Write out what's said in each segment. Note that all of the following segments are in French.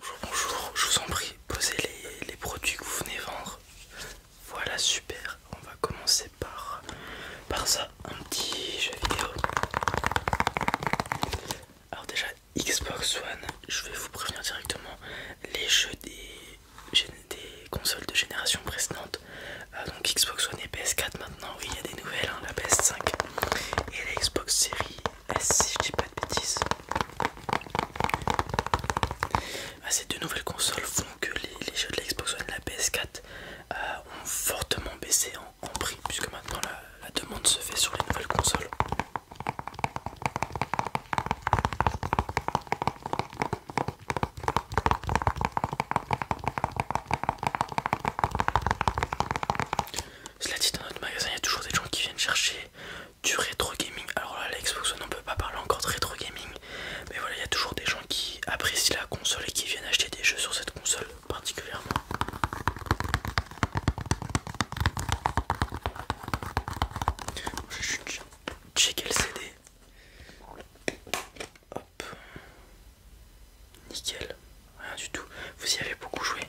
Bonjour, bonjour, je vous en prie, posez les, produits que vous venez vendre. Voilà, super, on va commencer par, par ça, un petit jeu vidéo. Alors déjà, Xbox One, je vais vous prévenir directement, les jeux des, consoles de génération précédente, euh, donc Xbox One et PS4 maintenant, oui il y a des nouvelles, hein, la PS5 et la Xbox Series ah, si je dis pas de bêtises. Ah, ces deux nouvelles consoles font que les, jeux de la Xbox One et de la PS4 euh, ont fortement baissé en, prix puisque maintenant la demande se fait sur les nouvelles consoles. Cela dit, dans notre magasin, il y a toujours des gens qui viennent chercher du rétro gaming. Alors là, la Xbox One, peut pas parler encore de rétro gaming, mais voilà, il y a toujours des gens qui apprécient la console et qui viennent acheter des jeux sur cette console particulièrement. Je vais CD. Hop, nickel. Rien du tout. Vous y avez beaucoup joué.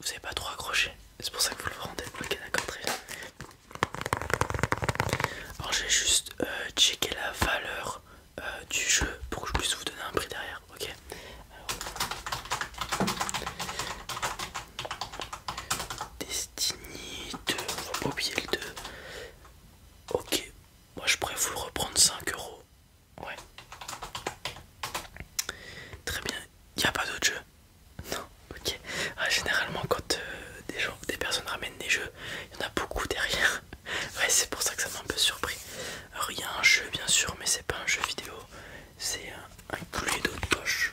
Vous n'avez pas trop accroché. C'est pour ça que vous le rendez. bloqué d'accord, très bien. Alors j'ai juste euh, checker la valeur euh, du jeu pour que je puisse vous donner un prix derrière. Ok. Destiny 2. le 2. Ok. Moi je pourrais vous le reprendre 5 euros. Ouais. Très bien. Il a pas d'autres jeux Non, ok. Ah, généralement, quand euh, des, gens, des personnes ramènent des jeux, il y en a beaucoup derrière. Ouais, c'est pour ça que ça m'a un peu surpris. rien un jeu, bien sûr, mais c'est pas un jeu vidéo. C'est un, clé d'eau de poche.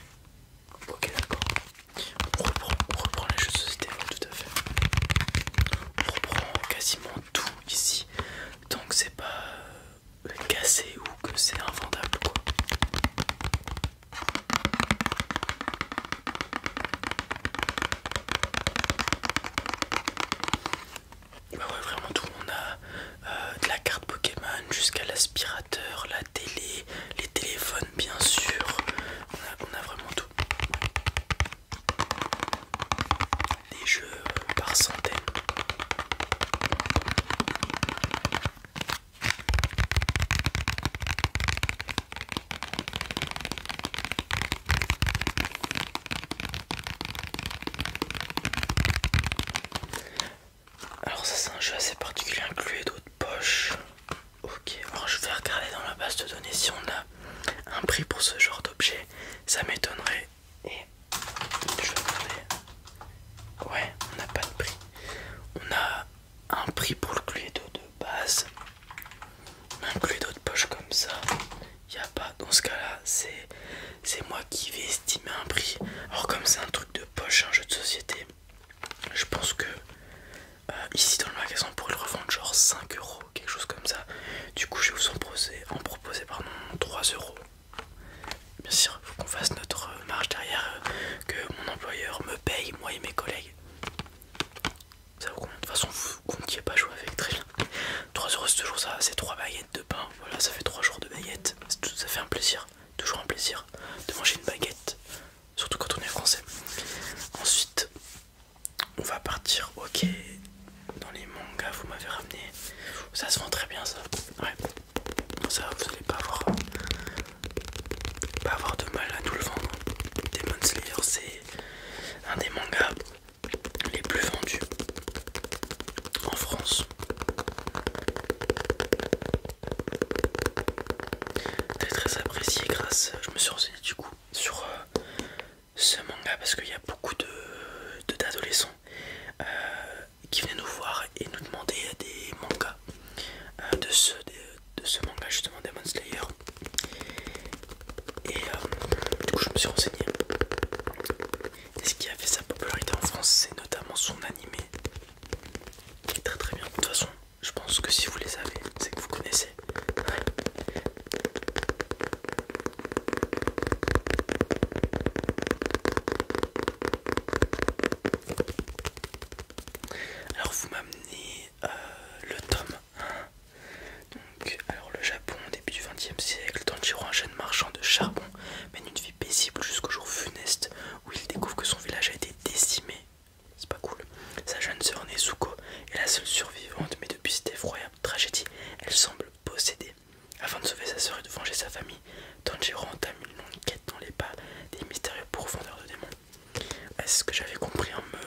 Ok, d'accord. On reprend, les jeux de société, tout à fait. On reprend quasiment tout ici donc c'est pas cassé ou que c'est invendable quoi bah ouais vraiment tout on a euh, de la carte Pokémon jusqu'à l'aspirateur la télé les téléphones bien sûr on a vraiment tout des jeux par centaines. Alors ça c'est un jeu assez particulier inclus d'autres poches. Ok, alors je vais regarder dans la base de données si on a un prix pour ce genre d'objet, ça m'étonnerait. Et je vais Ouais, on n'a pas de prix. On a un prix pour le d'eau de base. Un d'eau de poche comme ça. Y a pas. Dans ce cas-là, c'est c'est moi qui vais estimer un prix. alors comme c'est un truc de poche, un jeu de société, je pense que euh, ici dans le magasin pour le revendre genre 5 euros, quelque chose comme ça. Du coup, je vais vous en proposer, en 3 euros. Bien sûr, faut qu'on fasse notre euh, marge derrière, euh, que mon employeur me paye, moi et mes collègues. Ça vous compte. De toute façon, vous ne comptiez pas jouer avec, très bien. 3 euros, c'est toujours ça, c'est 3 baguettes de pain. Voilà, ça fait 3 jours de baguettes. ça fait un plaisir, toujours un plaisir de manger une baguette, surtout quand on est français. Ensuite, on va partir ok dans les mangas vous m'avez ramené ça se vend très bien ça ouais ça vous allez pas avoir de mal à tout le vendre Demon Slayer c'est un des mangas les plus vendus en France très très apprécié grâce je me suis du coup sur euh, ce manga parce qu'il y a beaucoup d'adolescents de, d'adolescents euh, qui venaient nous voir et nous demandaient des mangas euh, de, ce, de, ce manga justement Demon Slayer et du coup je me suis renseigné et ce qui a fait sa popularité en France c'est notamment son animé qui est très très bien de toute façon je pense que si vous les avez, c'est que vous connaissez. Alors vous m'amenez euh, le tome 1. alors le Japon, début du 20 XXe siècle, Tanjiro, un jeune marchand de charbon, mène une vie paisible jusqu'au jour funeste où il découvre que son village a été décimé c'est pas cool. Sa jeune sœur Nezuko est la seule survivante, mais depuis cette effroyable tragédie, elle semble possédée. Afin de sauver sa sœur et de venger sa famille, Tanjiro entame une longue quête dans les pas des mystérieux profondeurs de démons. C'est ce que j'avais compris en me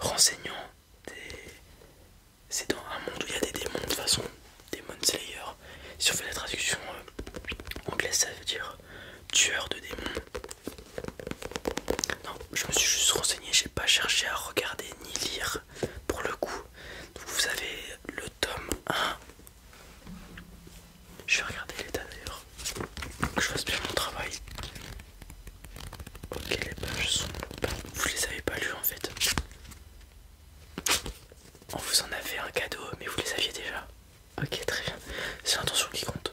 renseignant. C'est dans un monde où il y a des démons, de façon, Demon Slayer. Si on fait la traduction euh, anglaise, ça veut dire tueur de démons. Non, je me suis juste renseigné, j'ai pas cherché à regarder ni lire pour le coup. vous avez le tome 1. Je vais regarder l'état d'ailleurs. Que je fasse bien mon travail. Ok, les pages sont. Vous les avez pas lus en fait. On vous en avait un cadeau, mais vous les aviez déjà. Ok, très bien. C'est l'intention qui compte.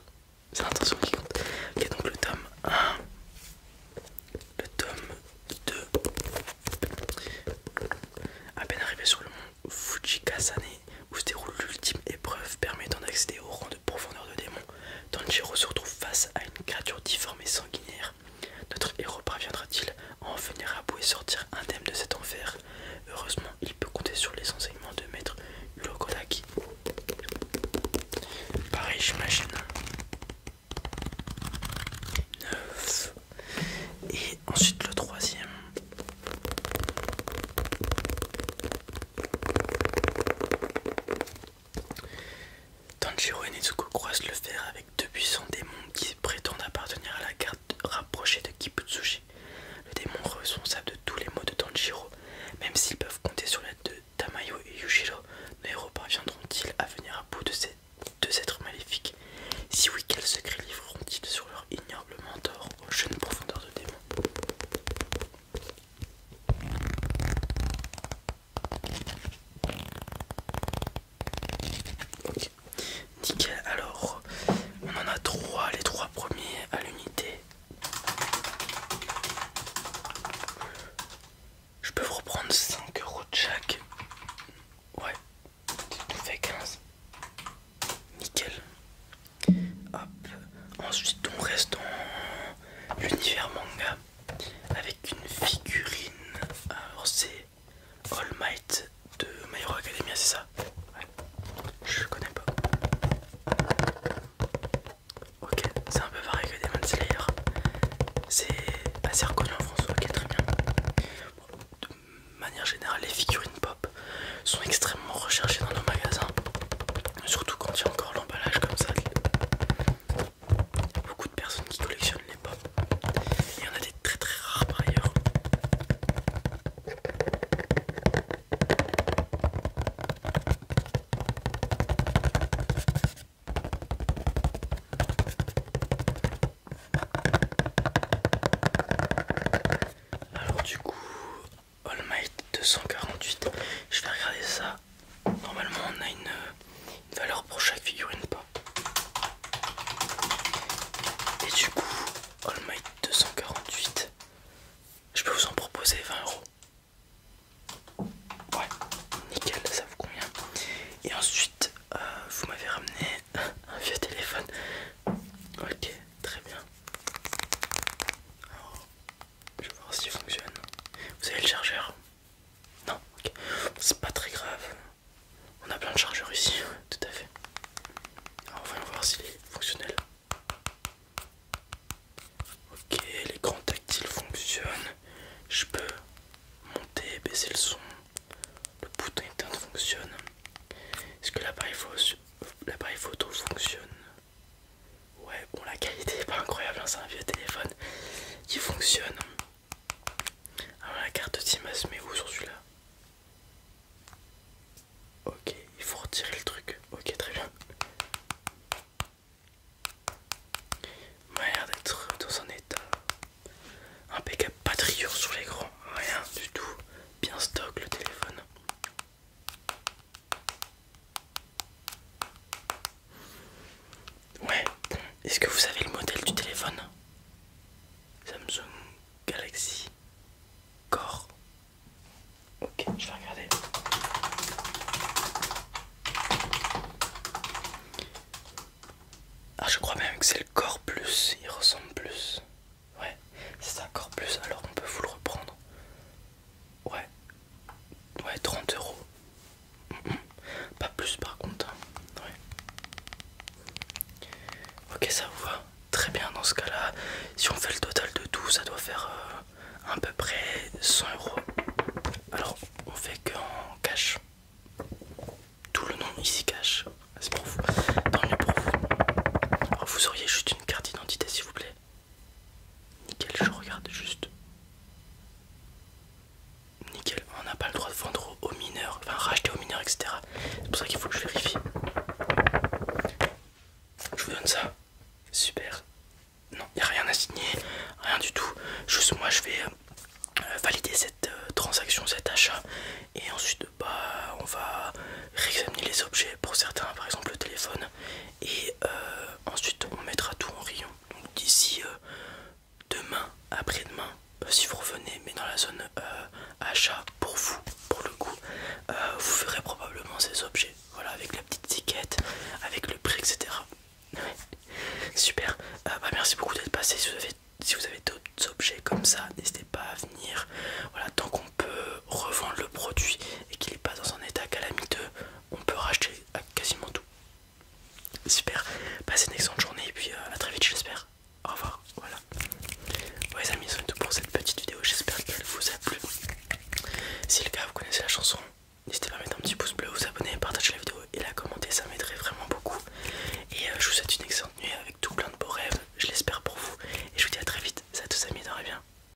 C'est l'intention qui compte. Ok, donc le tome 1, le tome 2. À peine arrivé sur le mont Fujikasane, où se déroule l'ultime épreuve permettant d'accéder au rang de profondeur de démon, Tanjiro se retrouve face à une créature difforme et sanguinaire. Notre héros parviendra-t-il à en venir à bout et sortir indemne de cet enfer Heureusement, il peut compter sur les enseignements de maître Ulokodaki. Pareil, j'imagine. 9. Et ensuite le troisième. Tanjiro et Nezuko croisent le fer avec deux puissants démons qui prétendent appartenir à la rapprochés de Kibutsuji. Le démon responsable de tous les maux de Tanjiro, même s'ils peuvent compter sur l'aide de Tamayo et Yujiro, nos héros parviendront-ils à venir à bout de ces deux êtres maléfiques Si oui, quels secrets livreront-ils sur leur ignoble mentor aux jeunes profondeurs de démons Ok, nickel. Alors, on en a trois, les trois premiers à l'unité. Je peux vous reprendre 5 euros de chaque. Ouais, nous 15. Nickel. Hop. Ensuite, on reste dans l'univers manga avec une figurine. Alors, c'est All Might de My Hero Academia, c'est ça Ouais, je connais pas. Ok, c'est un peu pareil que Demon Slayer. C'est assez reconnu en France, ok, très bien. de manière générale, les figurines pop sont extrêmement recherchées dans nos magasins, surtout quand il y a encore l'emballage comme ça. Beaucoup de personnes qui collectionnent il y en a des très très rares par ailleurs. Alors du coup, All Might 248, je vais regarder ça. Normalement on a une, euh, valeur pour chaque figurine pop et du coup, All my 248, je peux vous en proposer 20 euros. Ouais, nickel, ça vous convient. Et ensuite, euh, vous m'avez ramené un vieux téléphone. Ok, très bien. Alors, je vais voir s'il fonctionne. Vous avez le chargeur Non, ok. C'est pas très grave. On a plein de chargeurs ici, tout à fait. On va voir s'il est fonctionnel. Ok, grands tactiles fonctionnent. Je peux monter, et baisser le son. Le bouton éteint fonctionne. Est-ce que l'appareil photo, fonctionne Ouais, bon la qualité est pas incroyable, hein, c'est un vieux téléphone qui fonctionne. Alors ah, la carte de met où sur celui-là Ok, il faut retirer le truc. Ok, très bien. On a d'être dans un état Un Pas de sous sur l'écran, rien du tout. Bien stock le téléphone. Ouais, est-ce que vous savez le modèle du téléphone Samsung Galaxy Core. Ok, je vais regarder. Ah, je crois même que c'est le Core Plus, il ressemble plus. Ouais, c'est un Core Plus, alors on peut vous le reprendre. Ouais, Ouais, 30 euros. Pas plus par contre. Hein. Ok, ça vous va. Très bien, dans ce cas-là, si on fait le total de tout, ça doit faire euh, à peu près 100 euros. Alors, on fait qu'en cash. Tout le nom ici cash. C'est pour vous. vous auriez juste une carte d'identité, s'il vous plaît. Nickel, je regarde juste. Nickel, on n'a pas le droit de vendre aux mineurs, enfin racheter aux mineurs, etc. C'est pour ça qu'il faut que je vérifie. Je vous donne ça. Super. Non, il n'y a rien à signer, rien du tout. Juste moi je vais euh, valider cette euh, transaction, cet achat. Et ensuite, bah, on va réexaminer les objets. Pour certains, par exemple le téléphone, et euh, ensuite on mettra tout en rayon. Donc d'ici euh, demain, après-demain, bah, si vous revenez, mais dans la zone euh, achat pour vous, pour le coup, vous ferez probablement ces objets. Voilà, avec la petite étiquette, avec le prix, etc. Super, bah, merci beaucoup d'être passé. Si vous avez, si vous avez d'autres objets comme ça, n'hésitez pas à venir. Voilà, tant qu'on peut revendre le produit et qu'il n'est pas dans un état calamiteux, on peut racheter quasiment tout. Super, passez une excellente journée et puis euh, à très vite j'espère. Au revoir, voilà. Bon les amis, c'est tout pour cette petite vidéo, j'espère qu'elle vous a plu. Si le cas vous connaissez la chanson, n'hésitez pas à mettre un petit pouce bleu, vous abonner, partager la vidéo et la commenter, ça m'aiderait vraiment beaucoup. Et euh, je vous souhaite une excellente nuit avec tout plein de beaux rêves, je l'espère pour vous. Et je vous dis à très vite, ça tous amis, dormez bien.